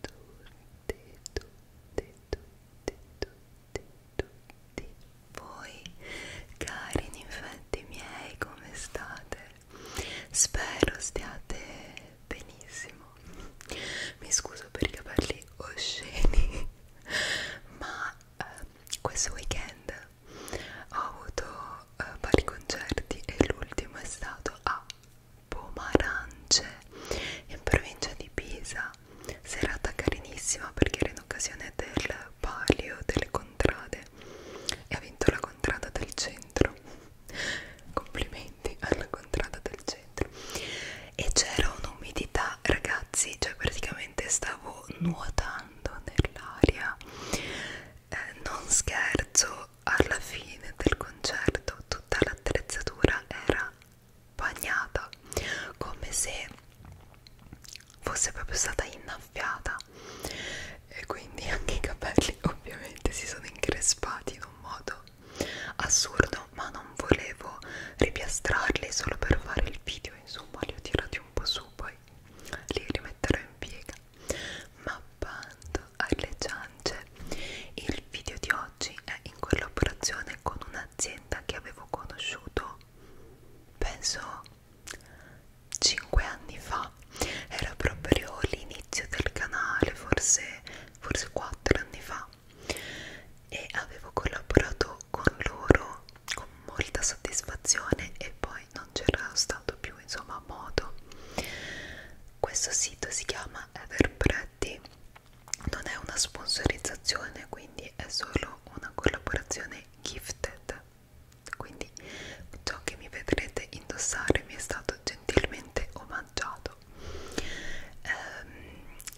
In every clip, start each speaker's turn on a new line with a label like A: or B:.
A: tutti, tutti, tutti, tutti, tutti voi cari infetti miei come state? Spero stiate benissimo. Mi scuso per i capelli osceni, ma eh, questo weekend ho avuto eh, vari concerti e l'ultimo è stato a Pomarance in provincia di Pisa serata carinissima perché era in occasione del palio delle contrade e ha vinto la contrada del centro complimenti alla contrada del centro e c'era un'umidità ragazzi cioè praticamente stavo nuotando nell'aria eh, non scherzo alla fine del concerto tutta l'attrezzatura era bagnata come se fosse proprio stata innaffiata e quindi anche i capelli ovviamente si sono increspati in un modo assurdo ma non volevo ripiastrarli solo per fare il video insomma li ho tirati un po' su poi li rimetterò in piega mappando alle ciance. Il video di oggi è in collaborazione con un'azienda che avevo conosciuto penso 5 anni fa. Era proprio l'inizio del canale, forse, forse 4 anni fa. E avevo collaborato con loro con molta soddisfazione e poi non c'era stato più insomma modo questo sito si chiama Everpretty non è una sponsorizzazione quindi è solo una collaborazione gifted quindi ciò che mi vedrete indossare mi è stato gentilmente omaggiato ehm,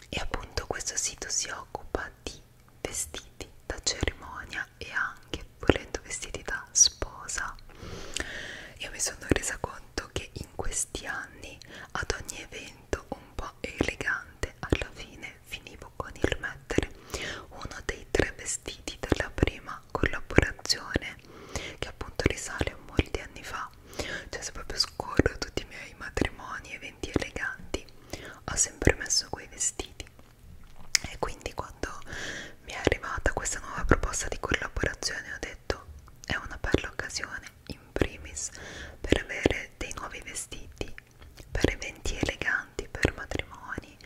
A: e appunto questo sito si occupa di vestiti da cerimonia e anche volendo vestiti da sposa io mi sono resa conto che in questi anni ad ogni evento un po' elegante alla fine finivo con il mettere uno dei tre vestiti della prima collaborazione che appunto risale a molti anni fa cioè se proprio scorro tutti i miei matrimoni eventi eleganti ho sempre messo quei vestiti e quindi quando mi è arrivata questa nuova proposta di collaborazione ho detto detto è una bella occasione in primis per avere dei nuovi vestiti per eventi eleganti, per matrimoni,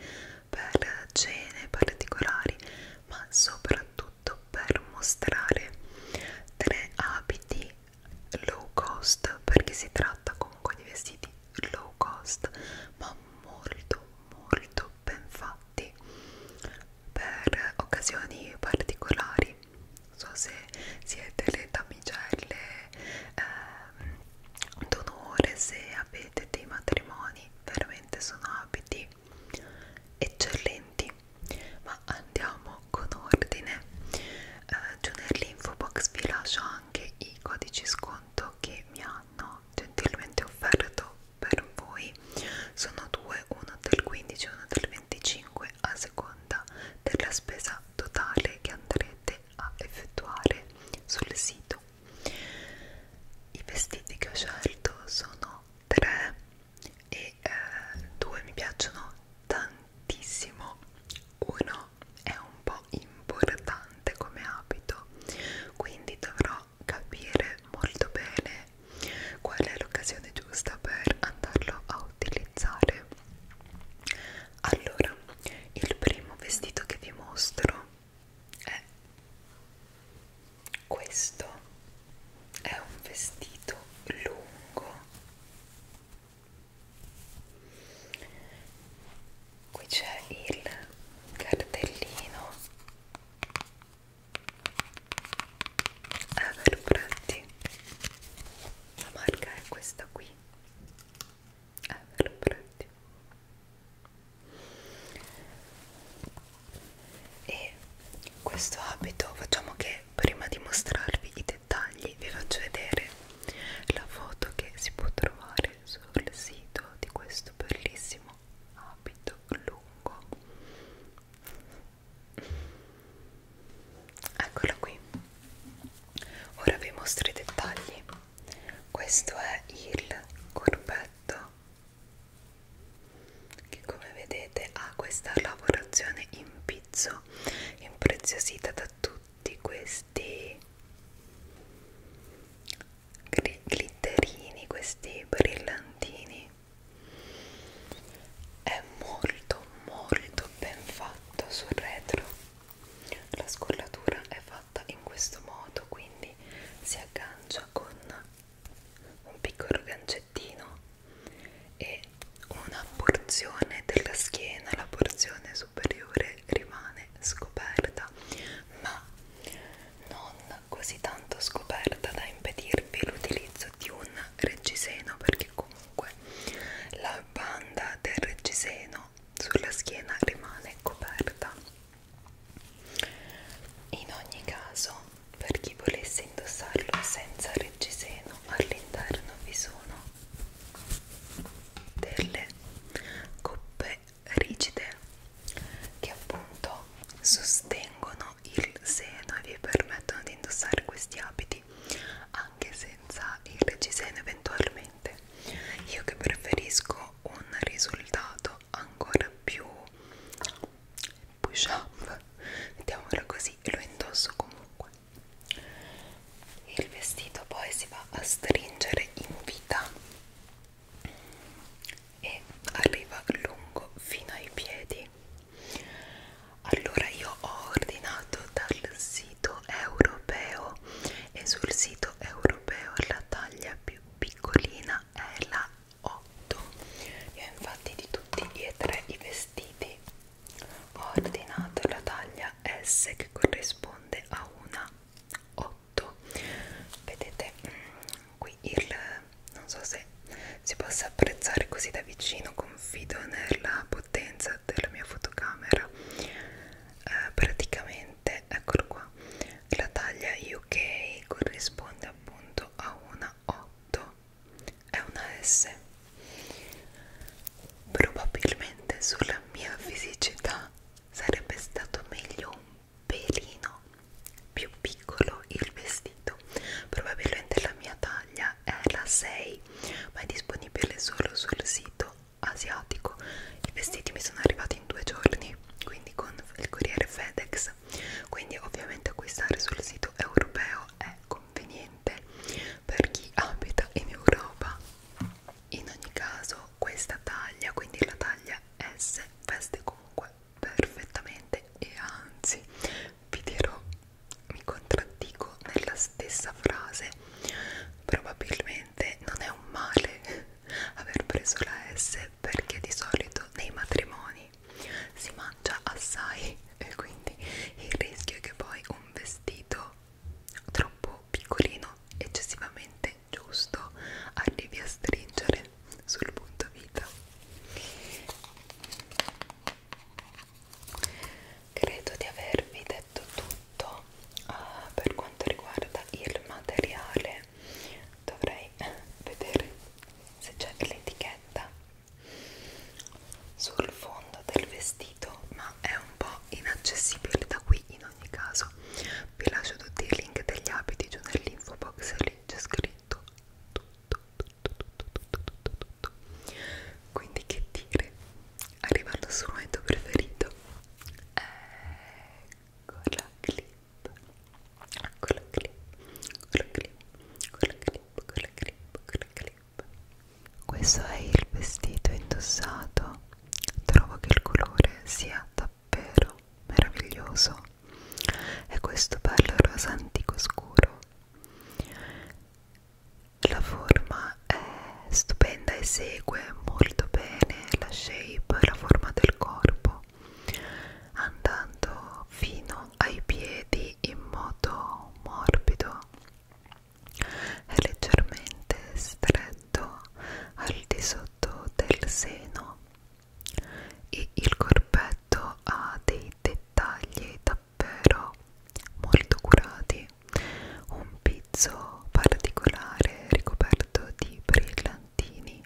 A: per cene particolari, ma soprattutto per mostrare tre abiti low cost, perché si tratta comunque di vestiti low cost, ma molto molto ben fatti, per occasioni particolari non so se siete le damigelle eh, d'onore se avete dei matrimoni veramente sono abiti eccellenti ma andiamo con ordine eh, giù nell'info box vi lascio anche i codici sconto che mi hanno gentilmente offerto per voi sono due, uno del 15 e uno del 25 a seconda della spesa totale che andrete a effettuare sul sito. I vestiti che ho scelto sono tre e eh, due mi piacciono tantissimo. Uno è un po' importante come abito, quindi dovrò capire molto bene qual è l'occasione giusta per andarlo a utilizzare allora il primo vestito che vi mostro è questo è un vestito lungo qui c'è il cartellino Agar Prati la marca è questa qui Agar Prati e questo abito facciamo che prima di mostrarvi i dettagli vi faccio vedere la foto che si può trovare sul sito di questo bellissimo abito lungo eccolo qui ora vi mostro i dettagli questo è il corpetto che come vedete ha questa lavorazione in pizzo impreziosita da tutti questi glitterini questi brillantini è molto molto ben fatto sul retro la scollatura è fatta in questo modo quindi si aggancia con un piccolo gancettino e una porzione della schiena la porzione superiore rimane scoperta ma non così tanto scoperta da impedirvi l'utilizzo di un reggiseno perché comunque la banda del reggiseno sulla schiena rimane coperta in ogni caso per chi volesse indossarlo senza reggiseno all'interno vi sono delle coppe rigide che appunto no, sostengono il seno e vi permettono di indossare questi abiti anche senza il reggiseno eventualmente. Io che preferisco un risultato ancora più push up, mettiamolo così, lo indosso comunque. Il vestito poi si va a stringere in vita e arriva lungo fino ai piedi allora io ho ordinato dal sito europeo e sul sito europeo la taglia più piccolina è la 8 io infatti di tutti e tre i vestiti ho ordinato la taglia S che corrisponde a una 8 vedete mm, qui il non so se si possa apprezzare così da vicino confido nella potenza della mia fotocamera eh, praticamente eccolo qua la taglia UK corrisponde appunto a una 8 è una S probabilmente sulla mia fisicità sarebbe stato meglio un pelino più piccolo il vestito probabilmente la mia taglia è la 6 ma è disponibile solo sul sito asiatico i vestiti mi sono arrivati in due giorni quindi con il corriere FedEx quindi ovviamente acquistare sul sito europeo è conveniente per chi abita in Europa in ogni caso questa taglia quindi la taglia S veste comunque perfettamente e anzi vi dirò mi contraddico nella stessa frase probabilmente non è un male aver preso la S perché di solito nei matrimoni si mangia assai e quindi il rischio è che poi un vestito troppo piccolino eccessivamente giusto arrivi a stringere sul punto vita credo di avervi detto tutto uh, per quanto riguarda il materiale dovrei eh, vedere se c'è l'etichetta sul fondo del vestito ma è un po' inaccessibile da qui in ogni caso vi lascio tutti i link degli abiti giù nell'info box lì c'è scritto tutto, tutto, tutto, tutto, tutto, tutto, tutto. Quindi che dire? Arriva al suo momento preferito. Ecco la clip. Ecco la clip. Con ecco la clip. Con ecco la clip. Con ecco la clip. Con la clip. Questo è il vestito indossato. Trovo che il colore sia davvero meraviglioso. È questo bello rosa antico scuro la forma è stupenda e segue molto bene la shape, la forma del corpo andando fino ai piedi in modo morbido è leggermente stretto al di sotto del seno e il corpetto ha dei dettagli davvero molto curati un pizzo particolare ricoperto di brillantini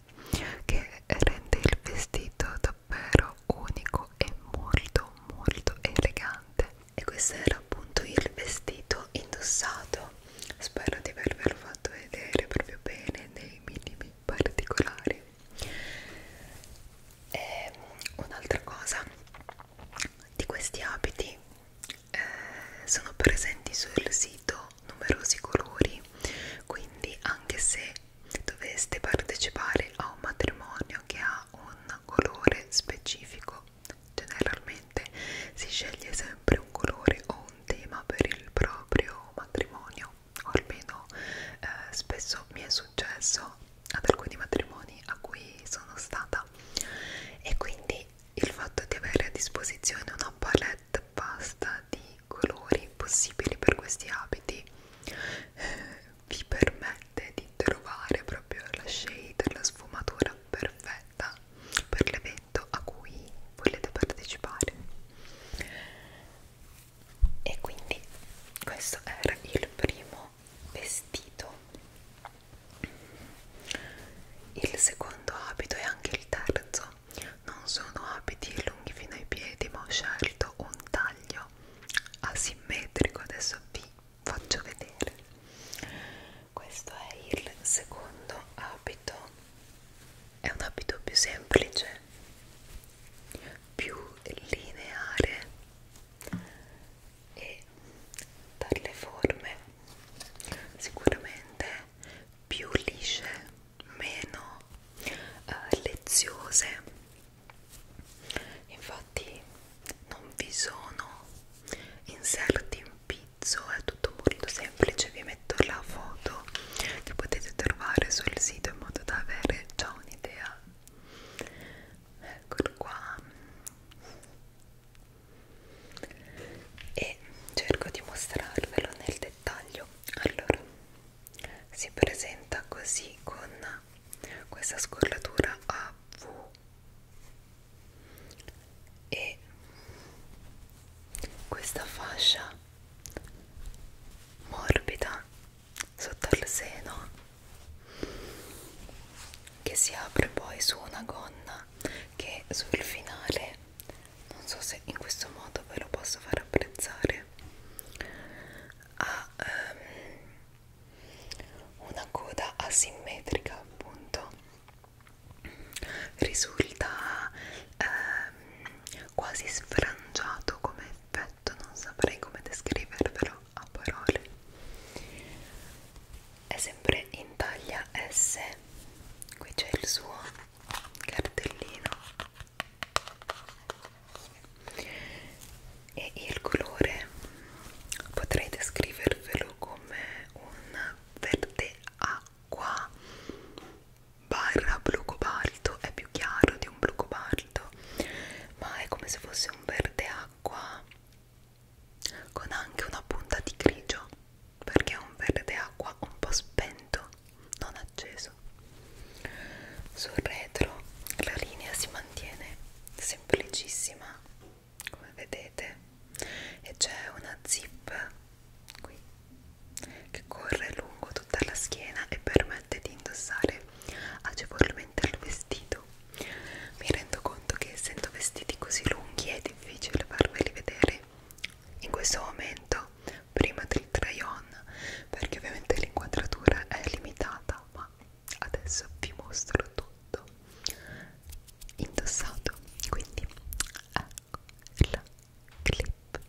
A: che rende il vestito davvero unico e molto molto elegante e questo era appunto il vestito indossato spero di avervelo fatto vedere proprio bene nei minimi particolari e ehm, un'altra cosa di questi abiti eh, sono presenti sul sito numerosi colori quindi anche se doveste partecipare a un matrimonio che ha un colore specifico generalmente si sceglie sempre un colore o un tema per il proprio matrimonio o almeno eh, spesso mi è successo ad alcuni matrimoni a cui sono stata e quindi il fatto di avere a disposizione una palette vasta di colori possibili per questi abiti eh, vi permette di trovare proprio la shade, la sfumatura perfetta per l'evento a cui volete partecipare e quindi questo era il primo vestito il secondo abito e anche il terzo non sono abiti lunghi fino ai piedi ma ho scelto un taglio asimmetrico adesso vi faccio vedere questo è il secondo abito è un abito più semplice più lineare e dalle forme sicuramente più lisce, meno eh, leziose. Infatti non vi sono inserti in pizzo, è tutto molto semplice, vi metto la foto che potete trovare sul sito in modo da avere già un'idea eccolo qua e cerco di mostrarvelo nel dettaglio allora si presenta così con questa scollatura a V e questa fascia morbida sotto il seno che si apre poi su una gonna che sul finale non so se in questo modo ve lo posso far apprezzare ha um, una coda asimmetrica appunto risulta um, quasi sfrangiato come effetto, non saprei come descrivervelo a parole. È sempre in taglia S, qui c'è il suo cartellino e il colore potrei descrivervelo come un verde acqua barra blu cobalto è più chiaro di un blu cobalto ma è come se fosse un verde acqua con anche una punta di grigio perché è un verde acqua un po' spento non acceso sul retro la linea si mantiene semplicissima come vedete e c'è una zip qui che corre lungo tutta la schiena e permette di indossare agevolmente al vestito. Mi rendo conto che essendo vestiti così lunghi è difficile farveli vedere in questo momento, prima del try on, perché ovviamente l'inquadratura è limitata, ma adesso vi mostro tutto indossato. Quindi ecco la clip,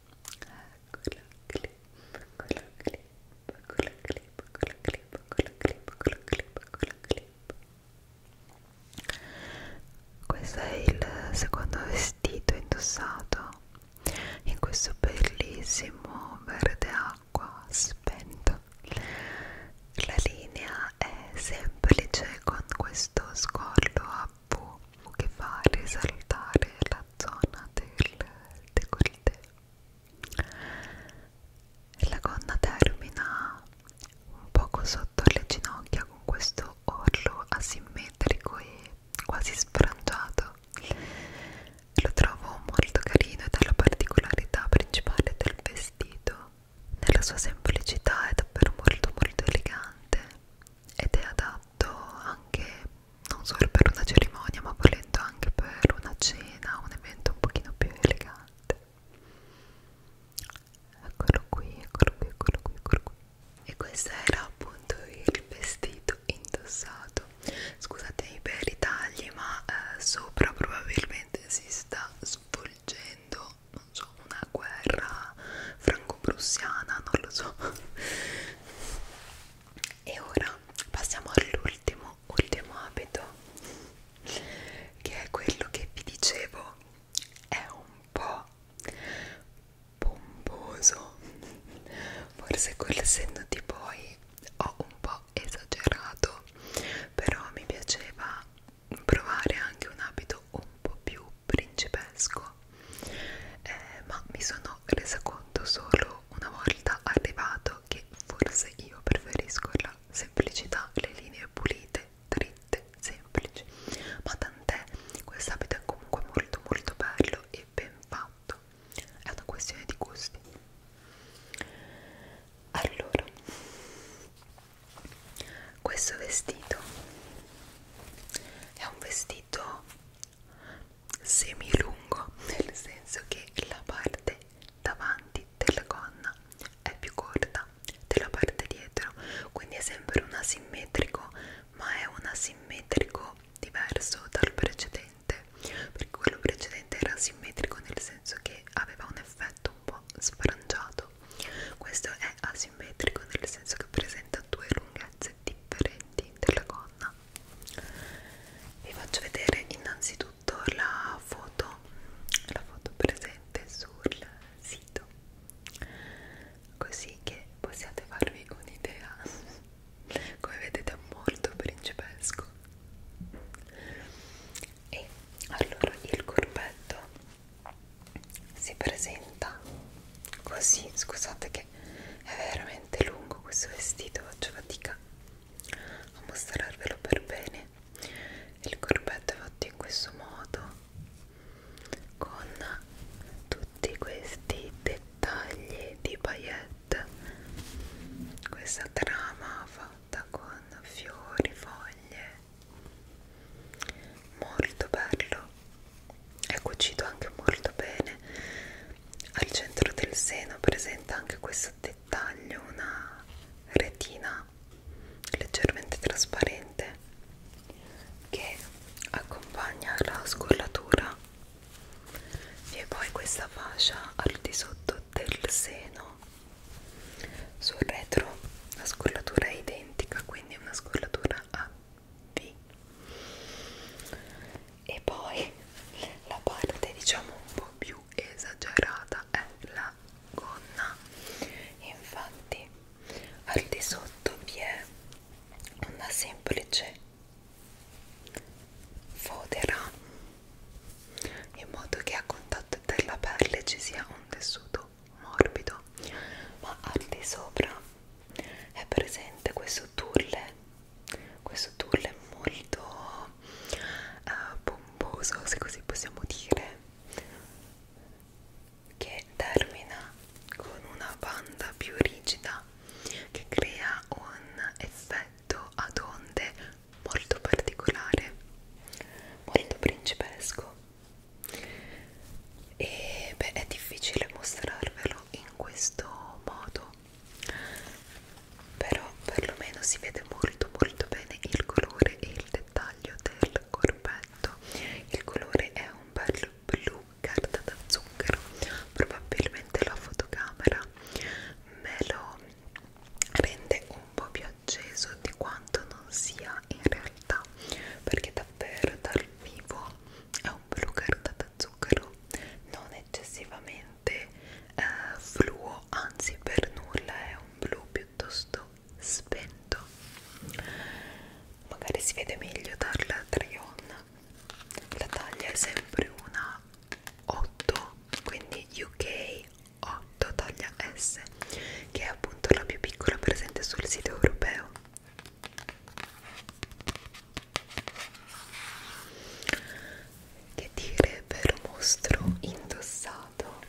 A: ecco la clip, ecco la clip clip, con la clip, con la clip, con la clip, con la clip, con la clip. Questo è il secondo vestito indossato in questo bellissimo verde acqua spento. La linea è semplice con questo scollo a V che fa risaltare la zona del décolleté e la gonna termina un poco sotto le ginocchia con questo orlo asimmetrico e quasi sfrangiato lo trovo molto carino ed è la particolarità principale del vestito nella sua semplicità è davvero molto molto elegante ed è adatto anche non solo per una cerimonia ma volendo anche per una cena, un evento un pochino più elegante eccolo qui, eccolo qui, eccolo qui, eccolo qui e questo era appunto il vestito indossato scusatemi per i tagli ma eh, sopra probabilmente si sta svolgendo non so, una guerra franco-prussiana, non lo so e ora passiamo all'ultimo ultimo abito che è quello che vi dicevo è un po' pomposo forse col senno di poi ho un po' esagerato però mi piaceva provare anche un abito un po' più principesco eh, ma mi sono resa conto solo una volta arrivato che forse io preferisco la semplicità, le linee pulite, dritte, semplici, ma tant'è, quest'abito è comunque molto molto bello e ben fatto, è una questione di gusti. Allora, questo vestito è un vestito semilungo nel senso che la parte davanti della gonna è più corta della parte dietro quindi è sempre un asimmetrico ma è un asimmetrico diverso dal precedente perché quello precedente era asimmetrico nel senso che aveva un effetto un po' sfrangiato questo è asimmetrico nel senso che presenta due lunghezze differenti della gonna donna vi faccio vedere innanzitutto la foto la foto presente sul sito così che possiate farvi un'idea come vedete è molto principesco e allora il corpetto si presenta così scusate che è veramente lungo questo vestito faccio fatica a mostrarvelo per bene il corpetto è fatto in questo modo con tutti questi dettagli di paillette questa trama fatta con fiori, foglie molto bello è cucito anche molto bene al centro del seno presenta anche questo dettaglio, una retina leggermente trasparente che accompagna la scollatura e poi questa fascia al di sotto del seno sul retro la scollatura è identica quindi è una scollatura a V e poi la parte diciamo un po' più esagerata è la gonna infatti al di sotto vi è una semplice fodera in modo che a contatto della pelle ci sia un tessuto morbido ma al di sopra è presente questo tulle questo tour è molto uh, pomposo se così possiamo dire che termina con una banda più rigida che crea un effetto ad onde molto particolare molto principesco e beh è difficile mostrarvelo in questo modo però perlomeno si vede molto molto bene il colore e il dettaglio del corpetto il colore è un bel blu carta da zucchero probabilmente la fotocamera me lo rende un po' più acceso di quanto non sia in realtà perché davvero dal vivo è un blu carta da zucchero non eccessivamente niente eh, fluo, anzi per nulla è un blu piuttosto spento magari si vede meglio dal Trion la taglia è sempre una 8 quindi UK 8 taglia S che è appunto la più piccola presente sul sito europeo che dire per mostro indossato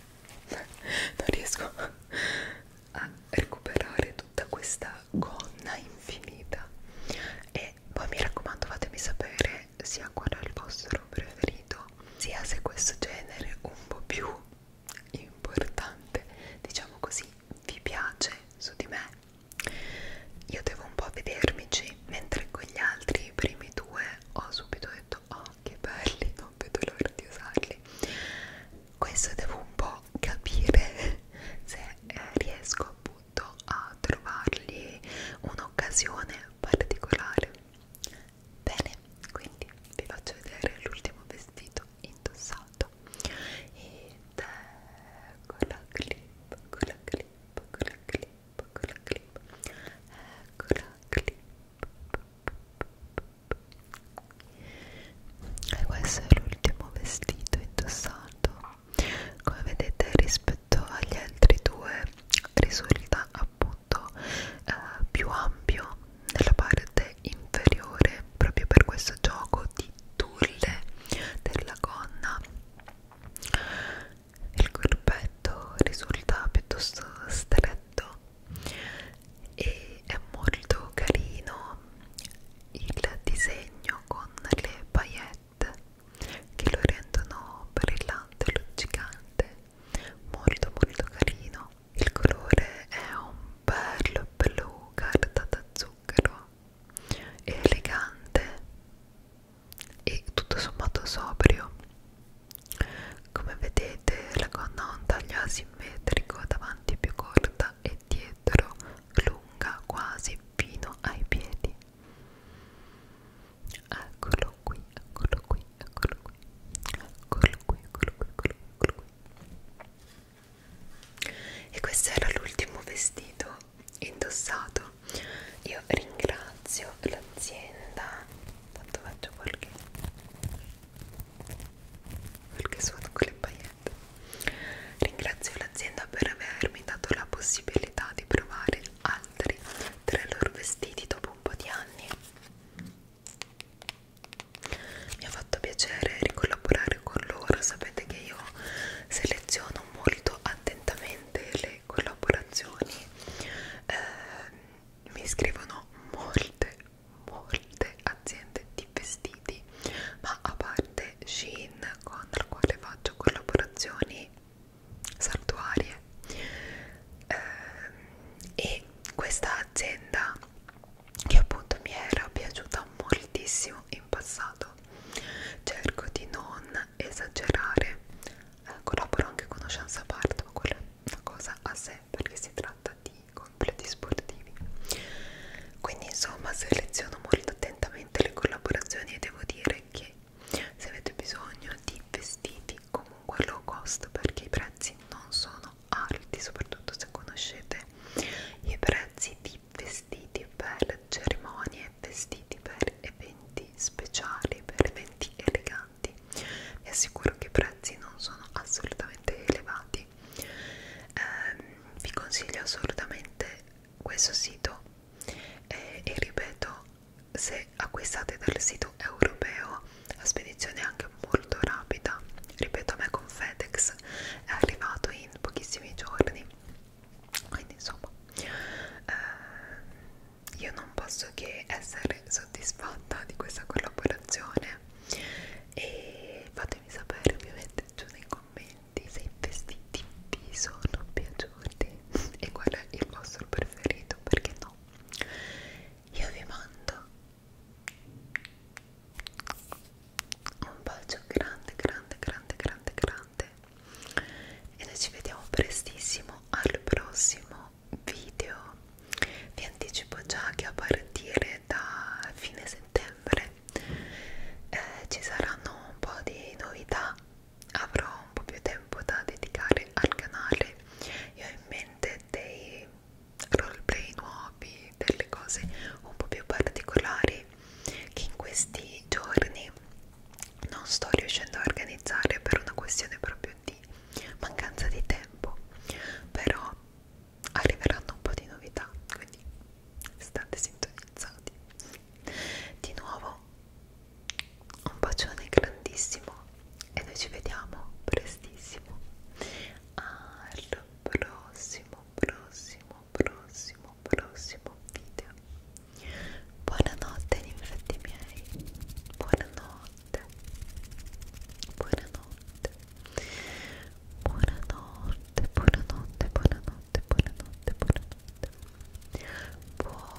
A: non riesco a recuperare tutta questa gonna infinita e poi mi raccomando fatemi sapere sia qual è il vostro preferito sia se questo genere un po' più importante diciamo così vi piace su di me io devo un po' vedermici mentre con gli altri i primi due ho subito detto oh che belli non vedo l'ora di usarli questo devo un po' capire se eh, riesco appunto a trovargli un'occasione particolare bene quindi vi faccio vedere l'ultimo vestito indossato ed ecco la clip con la clip con la clip ecco la clip ecco la clip e questo è l'ultimo vestito indossato come vedete rispetto agli altri due risulta appunto eh, più ampio nella parte inferiore proprio per questo gioco di tulle della gonna il corpetto risulta piuttosto stretto e è molto carino il disegno con le paillette che lo rendono brillante, luccicante, molto molto carino. Il colore è un bel blu carta da zucchero elegante e tutto sommato sobrio come vedete la gonna ha un taglio asimmetrico davanti più corta e dietro lunga quasi fino ai piedi eccolo qui eccolo qui eccolo qui eccolo qui eccolo qui eccolo qui, eccolo qui. e questo era l'ultimo vestito indossato io ringrazio l'azienda tanto faccio qualche qualche suono con le pagliette ringrazio l'azienda per avermi dato la possibilità di provare altri tra i loro vestiti dopo un po' di anni mi ha fatto piacere ricollaborare con loro sapete che io seleziono molto attentamente le collaborazioni eh, mi scrivono molte molte aziende di vestiti ma a parte Shein con la quale faccio collaborazioni saltuarie eh, e questa azienda che appunto mi era piaciuta moltissimo in passato cerco di non esagerare eh, collaboro anche con Oceanza Part ma quella è una cosa a sé perché si tratta di completi sportivi quindi insomma seleziono molto attentamente le collaborazioni e devo dire che se avete bisogno di vestiti comunque low cost perché i prezzi non sono alti soprattutto se conoscete i prezzi di vestiti per cerimonie vestiti per eventi prezzi speciali per eventi eleganti vi assicuro che i prezzi non sono assolutamente elevati eh, vi consiglio assolutamente questo sito eh, e ripeto se acquistate dal sito europeo la spedizione è anche molto rapida ripeto a me con FedEx è arrivato in pochissimi giorni quindi insomma eh, io non posso che essere soddisfatta di questa collaborazione e fatemi sapere ovviamente giù nei commenti se i vestiti vi sono piaciuti e qual è il vostro preferito perché no io vi mando un bacio grande grande grande grande grande e noi ci vediamo prestissimo al prossimo video vi anticipo già che a partire da fine settembre eh, ci saranno un po' di novità avrò un po' più tempo da dedicare al canale io ho in mente dei roleplay nuovi delle cose un po' più particolari che in questi giorni non sto riuscendo a organizzare per una questione proprio di mancanza di tempo però arriveranno un po' di novità quindi state sintonizzati di nuovo un bacione grandissimo e noi ci vediamo prestissimo al prossimo prossimo prossimo prossimo video buonanotte infatti miei buonanotte buonanotte buonanotte buonanotte buonanotte buonanotte buonanotte buonanotte